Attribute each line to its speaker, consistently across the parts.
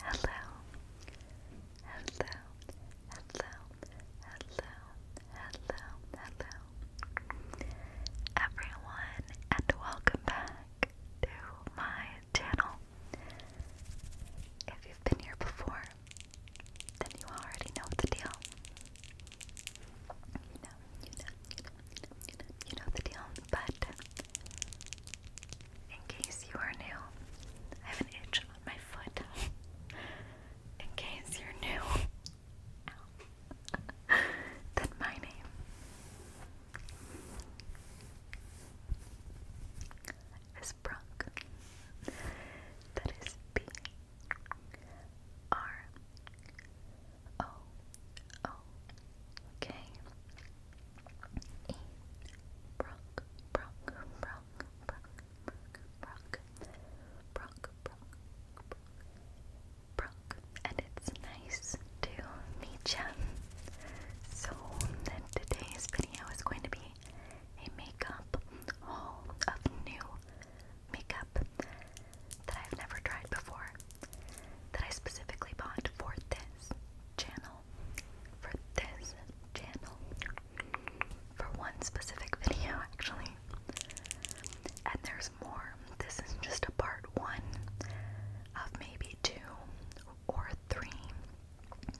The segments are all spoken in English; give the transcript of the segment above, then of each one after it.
Speaker 1: Hello, hello, hello, hello, hello, hello, everyone, and welcome back to my channel. If you've been here before, then you already know the deal. You you know, the deal. But in case you are new, I have an itch on my foot. in case you're new, then my name. Is Brooke. That is B R O O K E Brock Brock Brock Brock Brock Brock Brock Brock and it's nice to meet ya. So today's video is going to be a makeup haul of new makeup that I've never tried before that I specifically bought for this channel, for this channel, for one specific video actually. And there's more. This is just a part one of maybe two or three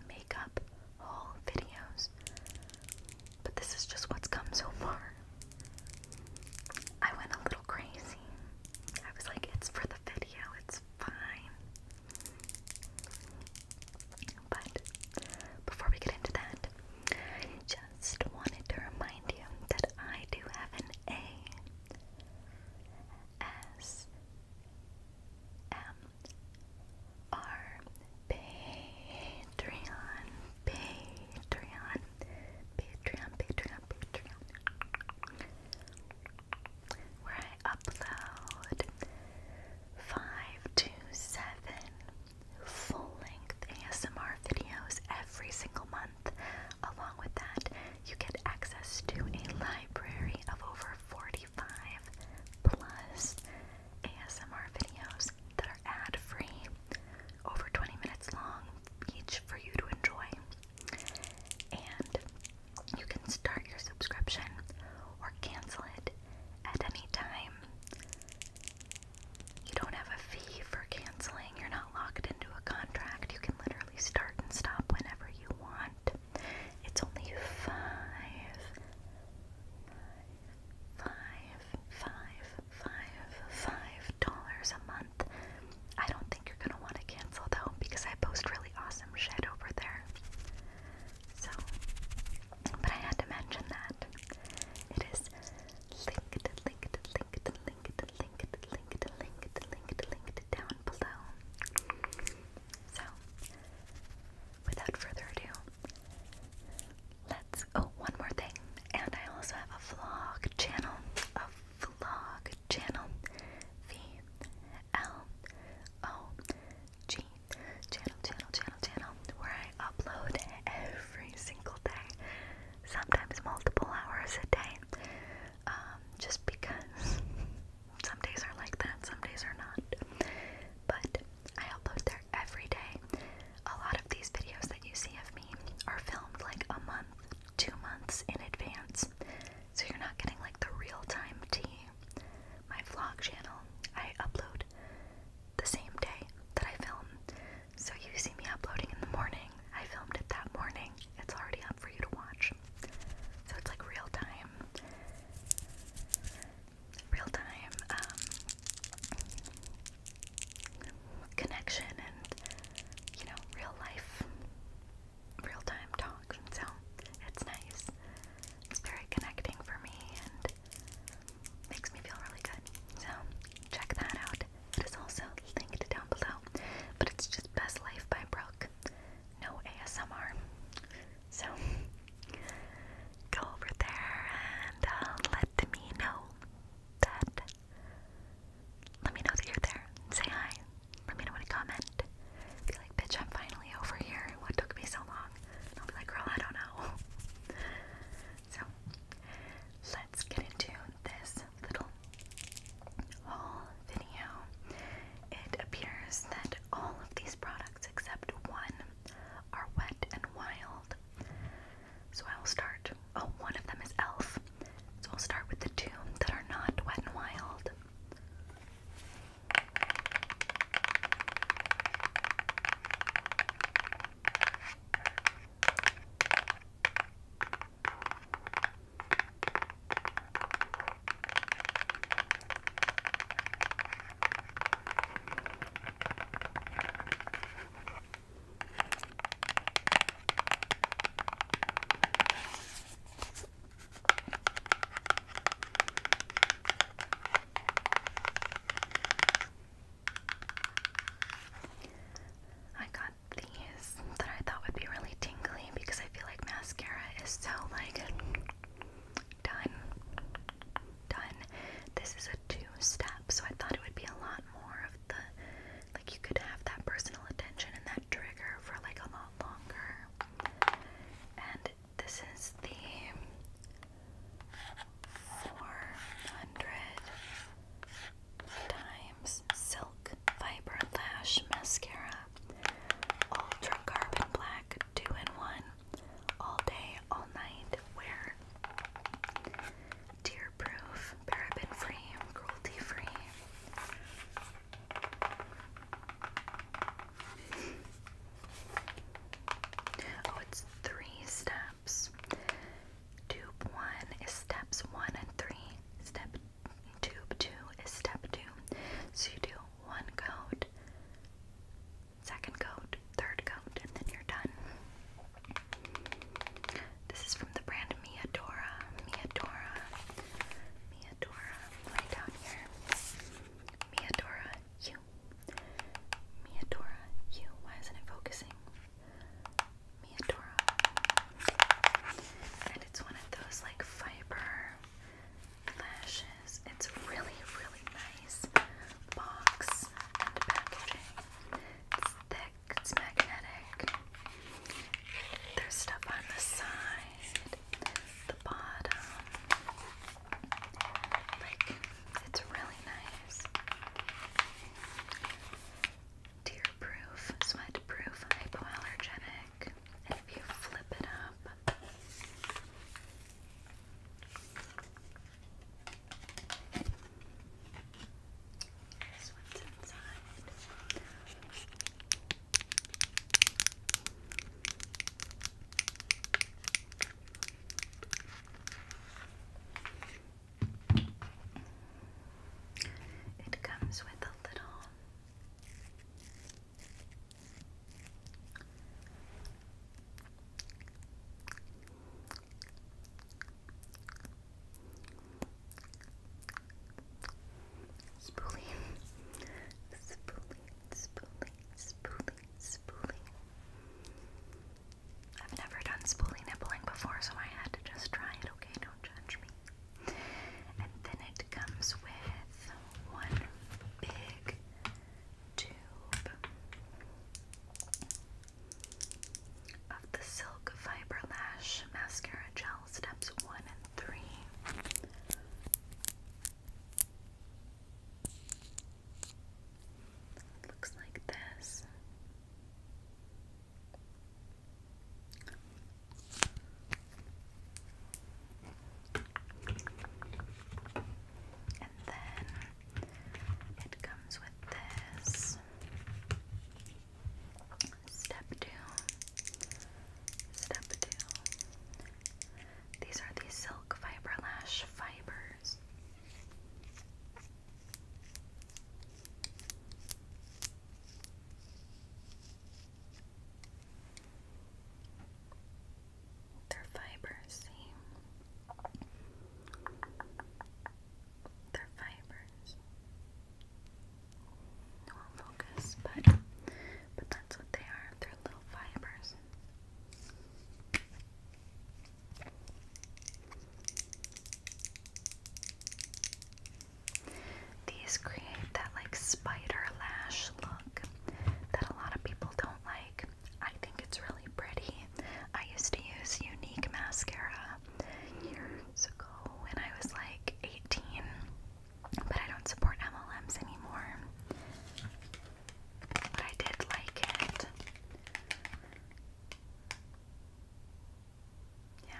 Speaker 1: makeup haul videos. But this is just what's come so far. I went a little crazy. I was like, it's for the video, it's fine. But before we get into that, just wanted to remind you that I do have an A S M R Patreon, Patreon, Patreon, Patreon, where I upload five to seven full-length ASMR videos every single month. Along with that, you get access to a library of over 45 plus ASMR videos that are ad-free, over 20 minutes long each for you to enjoy. And you can start your subscription or cancel it at any time. You don't have a fee for canceling, you're not locked into a contract. You can literally start and stop whenever you want. It's only five, five, five, five, five dollars a month. I don't don't you're gonna want to cancel though because I post really awesome shit over there. So, but I had to mention that it is linked, linked, linked, linked, linked, linked, linked, linked, linked down below. So, without further ado, let's. Oh, one more thing, and I also have a vlog channel, a vlog channel. V L O G channel, channel, channel, channel, where I upload every single day, sometimes multiple hours a day. Um, just because some days are like that, some days are not. But I upload there every day. A lot of these videos that you see of me are filmed like a month two months in advance, so you're not getting like the real time tea. My vlog channel, I upload the same day that I film, so you see me uploading in the morning. I filmed it that morning, it's already up for you to watch. So it's like real time. Real time um, connection and, you know, real life real time talk, so it's nice. It's very connecting for me and makes me feel really good. So check that out. It is also linked down below, but it's just Best Life by Brooke. No ASMR. So go over there and uh, let me know that let me know that you're there. Say hi. Let me know in a comment. Be like, bitch, I'm finally over here. What took me so long? I'll be like, girl, I don't know. so, let's get into this little haul video. It appears that all of these products except one are wet and wild. So I will start. Oh, one of them is Elf. So I'll start with the two that are not wet and wild. I got these that I thought would be really tingly because I feel like mascara is so like done. Done. This is a two step, so I thought it would be a lot more of the like you could have that personal attention and that trigger for like a lot longer. And this is the 400 times silk fiber lash mascara ultra carbon black 2 in 1 all day all night wear tear proof paraben free cruelty free Oh, it's three steps. Tube one is steps one and three. Step tube two is step two. So you do one coat, second coat, third coat, and then you're done. This is from the brand Miadora. Miadora. Miadora, you. Miadora, you. Why isn't it focusing? Miadora. And it's one of those like fiber lashes. It's really, really nice box and packaging. It's thick, it's magnetic. There's stuff on the side side, the bottom. Like, it's really nice. Tear proof, sweat proof, hypoallergenic. if you flip it up, this one's inside. It comes with a little Spooling, spooling, spooling, spooling, spooling. I've never done spoolie nibbling before, so I had to just try it, okay? Don't judge me. And then it comes with one big tube of the Silk Fiber Lash Mascara Gel Steps 1 three. Looks like this. And then it comes with this. Step two. Step two. These are the silk fiber lash fibers. They're fibers, They're fibers. No focus, but but that's what they are. They're little fibers. These create that like spider lash look that a lot of people don't like. I think it's really pretty. I used to use Unique mascara years ago when I was like 18 but I don't support MLMs anymore. But I did like it. Yeah.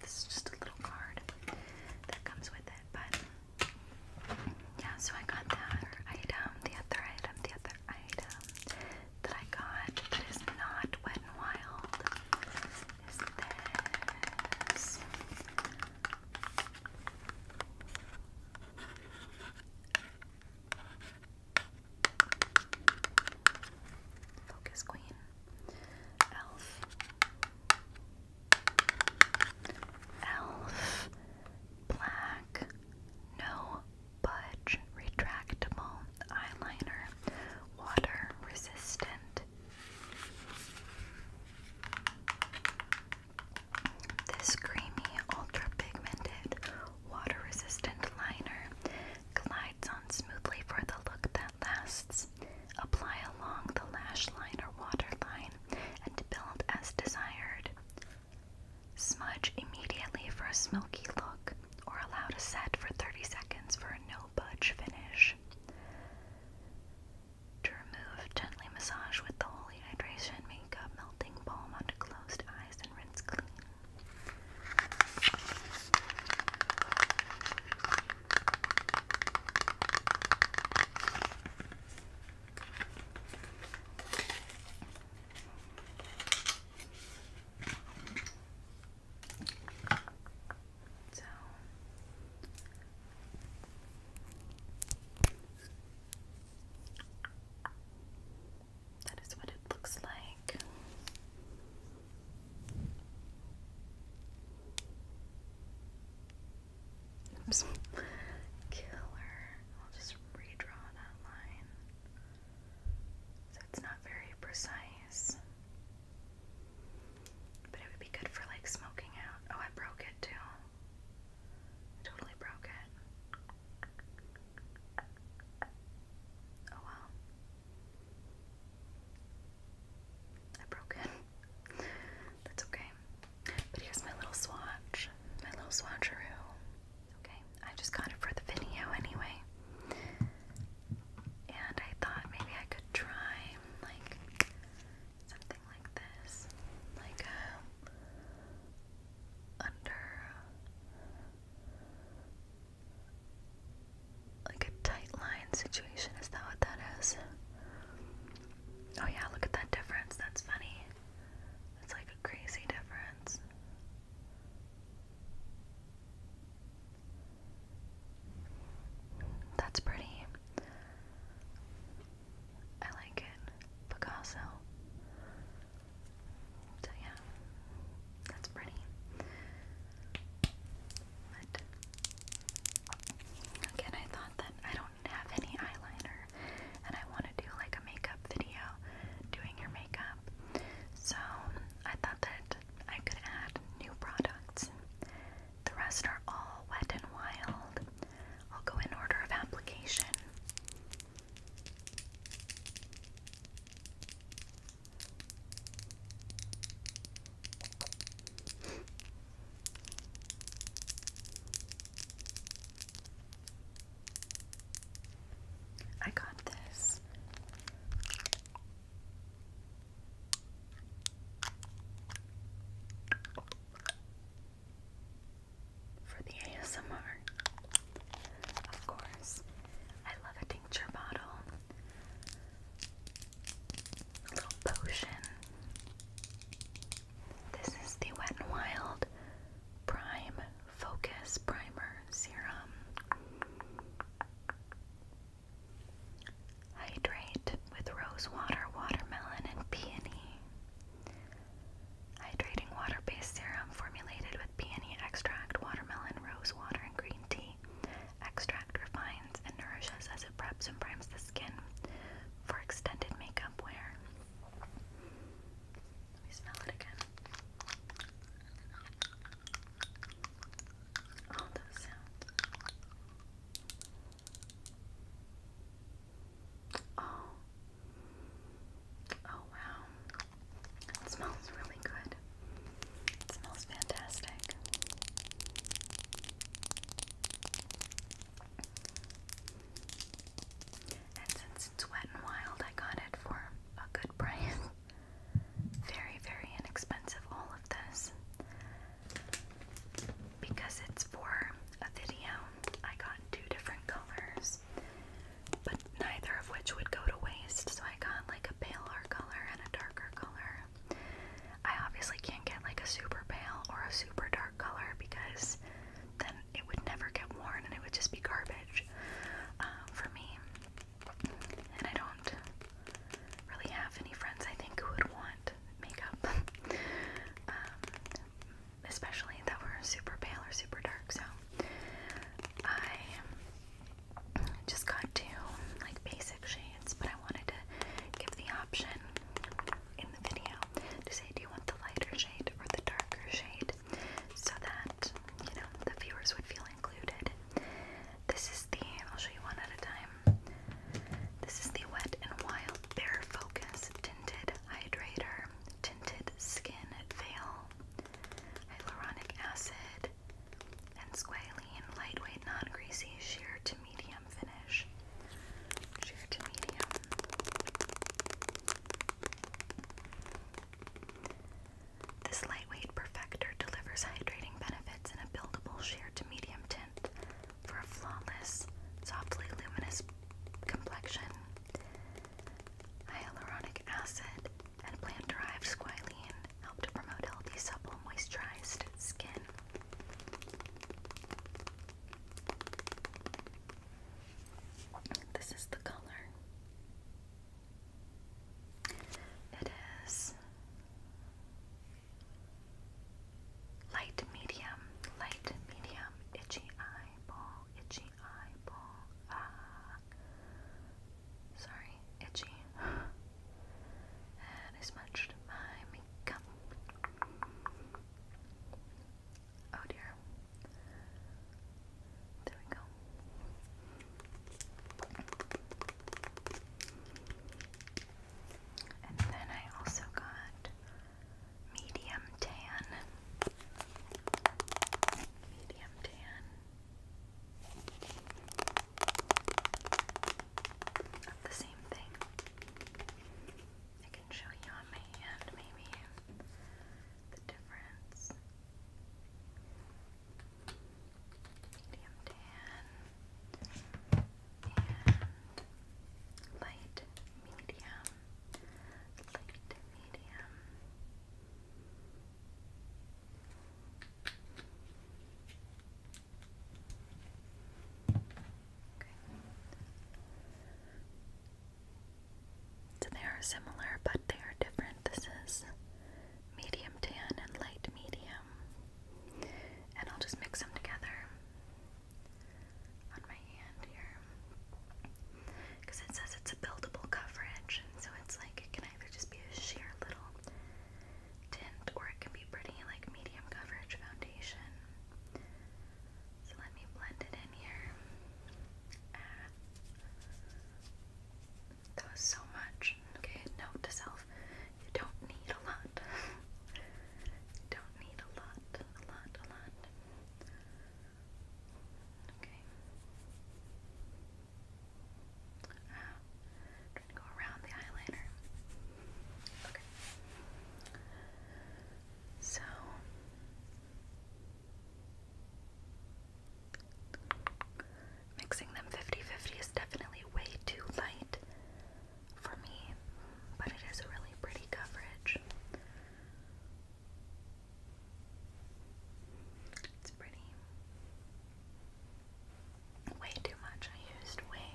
Speaker 1: This is just a little card that comes with it, but yeah, so I got that item, the other item, the other item that I got that is not Wet n Wild is this. Focus Queen, Elf, Elf, Black, No Budge Retractable Eyeliner, Water Resistant. This creamy, ultra pigmented, water resistant liner glides on smoothly for the look that lasts. Apply along the lash line or waterline and build as desired. Smudge immediately for a smoky look or allow to set for 30 seconds for a no-budge finish. To remove, gently massage with the Holy Hydration Makeup Melting Balm onto closed eyes and rinse clean. So that is what it looks like. Oops. Killer. I'll just redraw that line. So it's not very precise. But it would be good for like smoking out. Oh, I broke it too. totally broke it. Oh well. I broke it. That's okay. But here's my little swatch. My little swatcheroo. Okay, I just got it for the video anyway and I thought maybe I could try like something like this, like a uh, under like a tight line situation. Is that what that is? Oh yeah, look at that difference. That's funny. It's like a crazy difference. That's pretty. I like it. Picasso. yeah, that's pretty. again, I thought that I don't have any eyeliner, and I want to do like a makeup video, doing your makeup. So I thought that I could add new products. The rest are all wet and wild. I'll go in order of application. I got this for the ASMR. Of course, I love a tincture bottle, a little potion. This is the Wet n Wild Prime Focus Primer Serum. Hydrate with rose water, watermelon, and peony. Hydrating water based serum formulated with peony extract, watermelon, rose water, and green tea. Extract refines and nourishes as it preps and primes the skin for extended makeup wear. Let smell it again all those sounds. Oh, oh wow! It smells really good. It smells fantastic. And since it's wet and wild, I got it for a good price. very, very inexpensive, all of this. Because it's for a video, I got two different colors, but neither of which would go to waste, so I got like a paler color and a darker color. I obviously can't get like a super pale or a super dark color because then it would never get worn and it would just be garbage uh, for me and I don't really have any friends I think who would want makeup, um, especially that were super pale or super dark. So I just got two like basic shades, but I wanted to give the option in the video to say, do you want the lighter shade or the darker shade, so that you know the viewers would feel included. This is the, I'll show you one at a time. This is the Wet and Wild Bare Focus Tinted Hydrator, Tinted Skin Veil, Hyaluronic Acid, and Squalene Lightweight Non Greasy Sheer to Medium Finish. Sheer to medium. This lightweight perfector delivers hydrating benefits in a buildable sheer to medium tint for a flawless, softly luminous complexion. Hyaluronic acid and plant-derived squalene help to promote healthy, supple, moisturized skin. This is the color. It is Light medium, light medium, itchy eyeball, itchy eyeball, ah. Sorry, itchy. and I smudged my makeup. Oh dear. There we go. And then I also got medium tan. Medium tan. Not the same thing. I can show you on my hand maybe the difference medium tan, and light medium, light medium. Okay. So they are similar, but they are different. This is medium tan and light medium. And I'll just mix them together on my hand here. Because it says it's a buildable coverage, so it's like it can either just be a sheer little tint or it can be pretty like medium coverage foundation. So let me blend it in here. Ah. That was so much. Okay, note to self. You don't need a lot. don't need a lot. A lot, a lot. Okay. Uh, trying to go around the eyeliner. Okay. So Mixing them 50 50 is definitely way too light for me, but it is a really pretty coverage. It's pretty. Way too much. I used way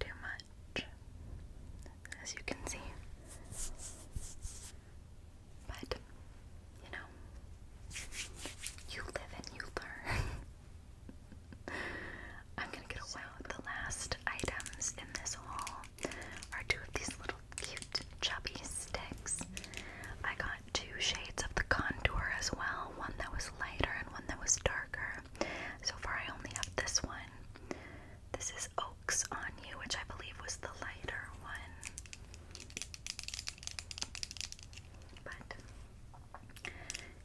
Speaker 1: too much, as you can see. But, you know, you live and you learn. I'm gonna get a so the last items in this haul are two of these little cute chubby sticks. I got two shades of the contour as well, one that was lighter and one that was darker. So far I only have this one. This is Oaks on You, which I believe was the lighter one. But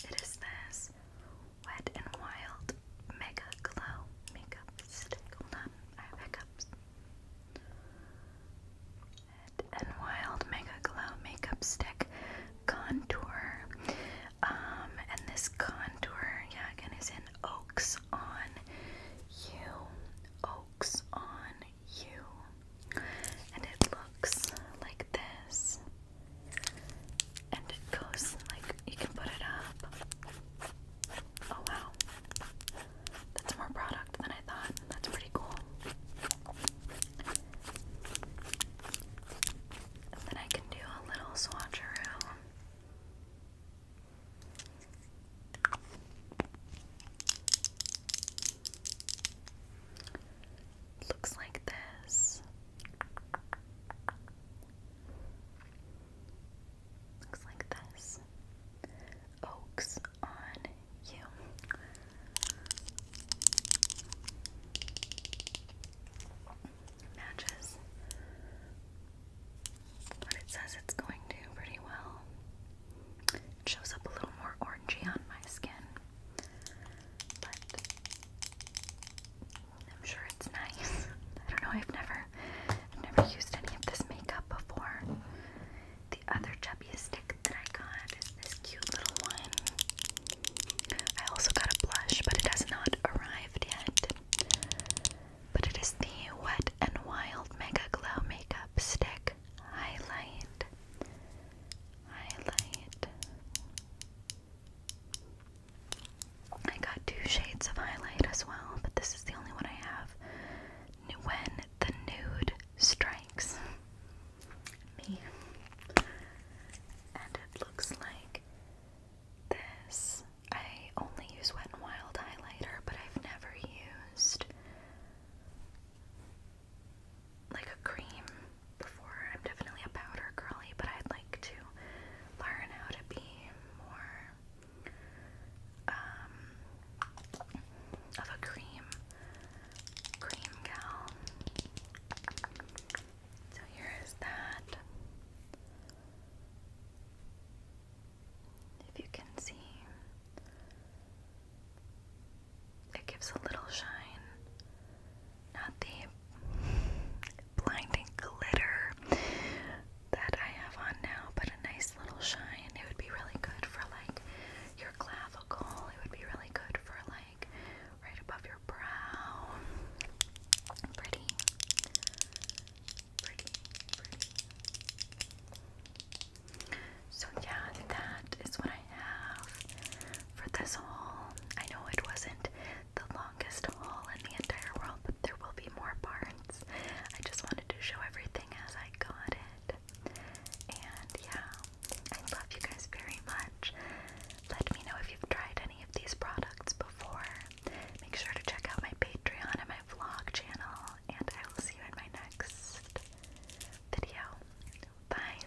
Speaker 1: it is this Wet and Wild Mega Glow Makeup Stick. Hold on, I have hiccups. Wet and Wild Mega Glow Makeup Stick Contour. Um, and this contour, again, is in Oaks on You. Oaks on You. And it looks like this and it goes like you can put it up. Oh wow, that's more product than I thought. That's pretty cool. And then I can do a little swatcheroo looks like this. Looks like this. Oaks on you. Matches what it says it's going to pretty well. shows up a little more orangey on my skin. I'm sure it's nice. I don't know, I've never I've never used any of this makeup before. The other chubby stick that I got is this cute little one. I also got a blush, but it has not arrived yet. But it is the Wet and Wild Mega Glow Makeup Stick Highlight highlight. I got two shades of highlight as well, but this is the only one I have. When the nude strikes me, and it looks like this. I only use Wet n Wild highlighter, but I've never used like a cream before. I'm definitely a powder girly, but I'd like to learn how to be more um, of a cream cream gal. So here is that. If you can see, it gives a little shine, not the blinding glitter that I have on now, but a nice little shine. It would be really good for like your clavicle, it would be really good for like right above your brow. Pretty, pretty, pretty. So, yeah, that is what I for this haul. I know it wasn't the longest haul in the entire world, but there will be more parts. I just wanted to show everything as I got it. And yeah, I love you guys very much. Let me know if you've tried any of these products before. Make sure to check out my Patreon and my vlog channel, and I will see you in my next video. Bye!